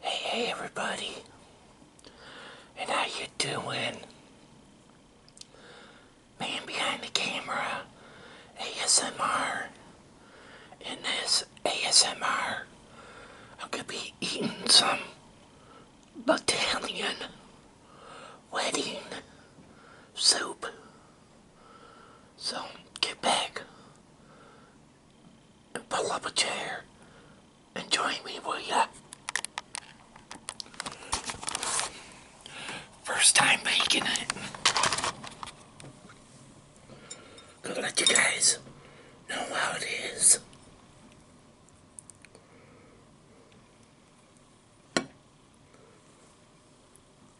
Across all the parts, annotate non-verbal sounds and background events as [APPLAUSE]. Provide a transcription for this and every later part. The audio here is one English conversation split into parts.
Hey, hey everybody. And how you doing? Man behind the camera, ASMR. In this ASMR, I'm gonna be eating some Battalion wedding soup. So get back, and pull up a chair and join me, will ya? First time making it. Gonna let you guys know how it is.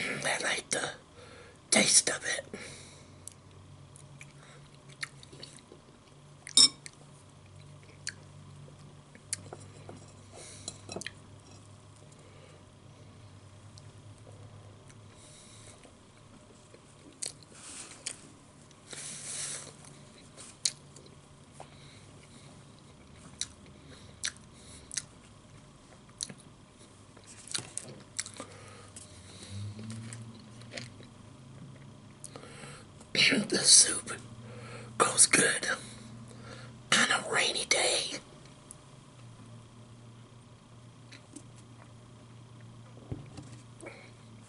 I like the taste of it. [COUGHS] the soup goes good on a rainy day.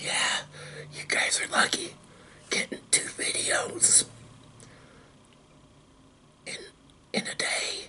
yeah, you guys are lucky getting two videos in in a day.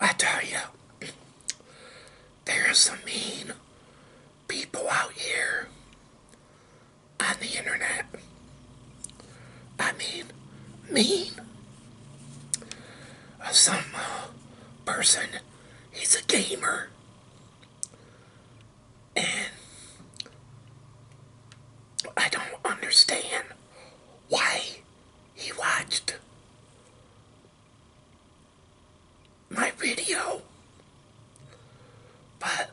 I tell you, there's some mean people out here on the internet. I mean, mean. Some uh, person, he's a gamer. And [COUGHS] I don't understand why he watched my video. But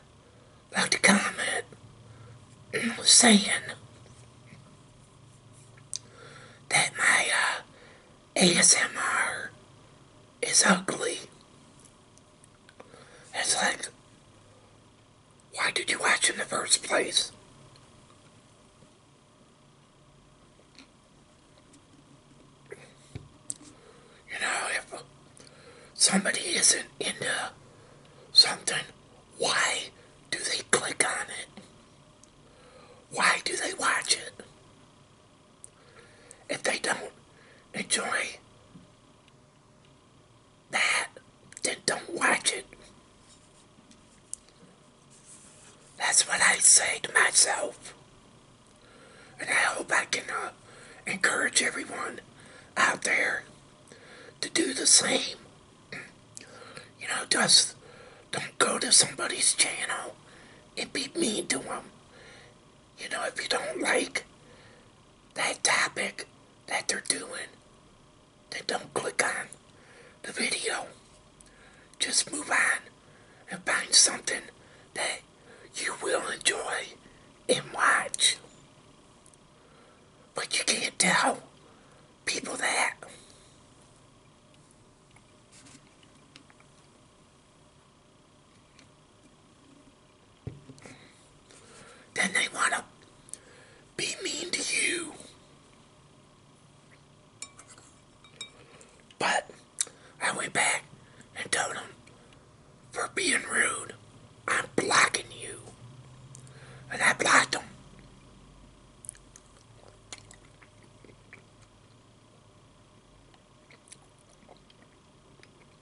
like the comment was saying that my uh, ASMR is ugly. It's like, why did you watch in the first place? You know, if somebody isn't into something, why do they click on it? Why do they watch it? If they don't enjoy bad, then don't watch it. That's what I say to myself. And I hope I can uh, encourage everyone out there to do the same. You know, just don't go to somebody's channel and be mean to them. You know, if you don't like that topic that they're doing, they don't click on the video. Just move on and find something that you will enjoy and watch. But you can't tell people that. Then they want to be mean to you. But I went back and told them, for being rude, I'm blocking you. And I blocked them.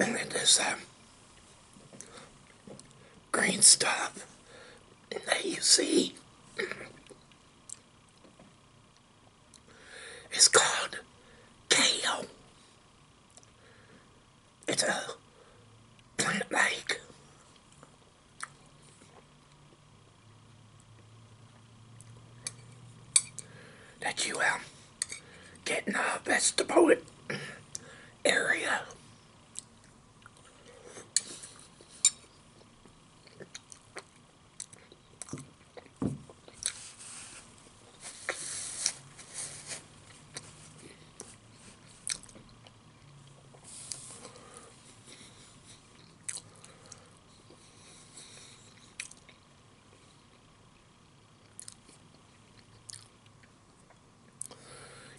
And it is green stuff that you see is called kale. It's a plant like that you um getting a vegetable area.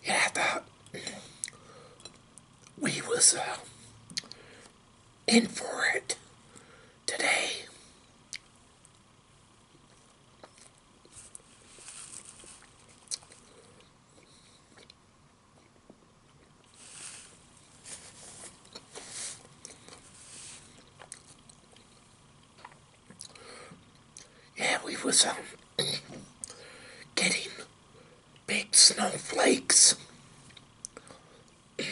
Yeah, I we was uh, in for it today. Yeah, we was um, [COUGHS] getting big snowflakes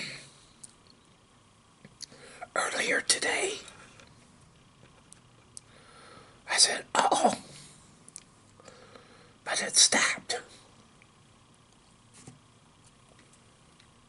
[COUGHS] earlier today. I said, oh, but it stopped.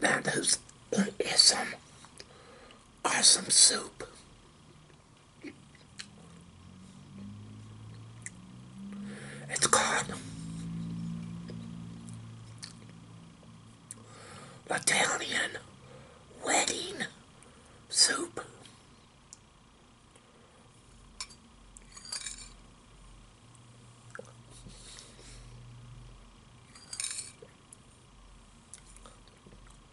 That is, is some awesome soup. It's called Italian Wedding Soup.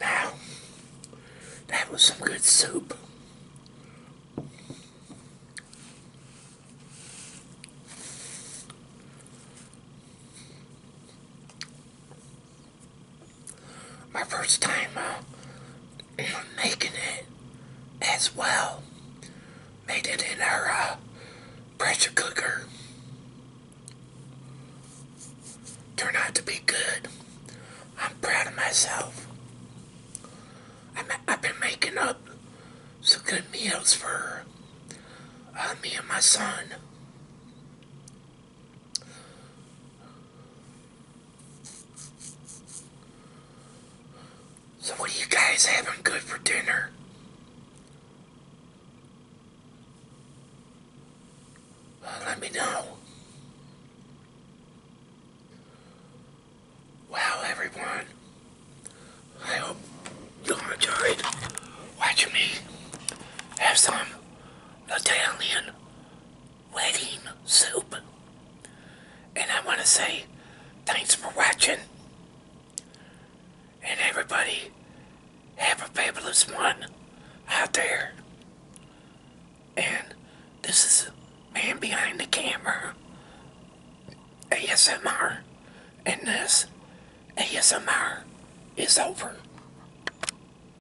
Now, that was some good soup my first time making it as well. Made it in our uh, pressure cooker. Turned out to be good. I'm proud of myself. i have been making up some good meals for uh, me and my son. So what are you guys having good for dinner? let me know. Wow, everyone. I hope you enjoyed watching me have some Italian wedding soup. And I want to say thanks for watching. And everybody, have a fabulous one out there. And this is Man Behind the Camera ASMR. And this ASMR is over.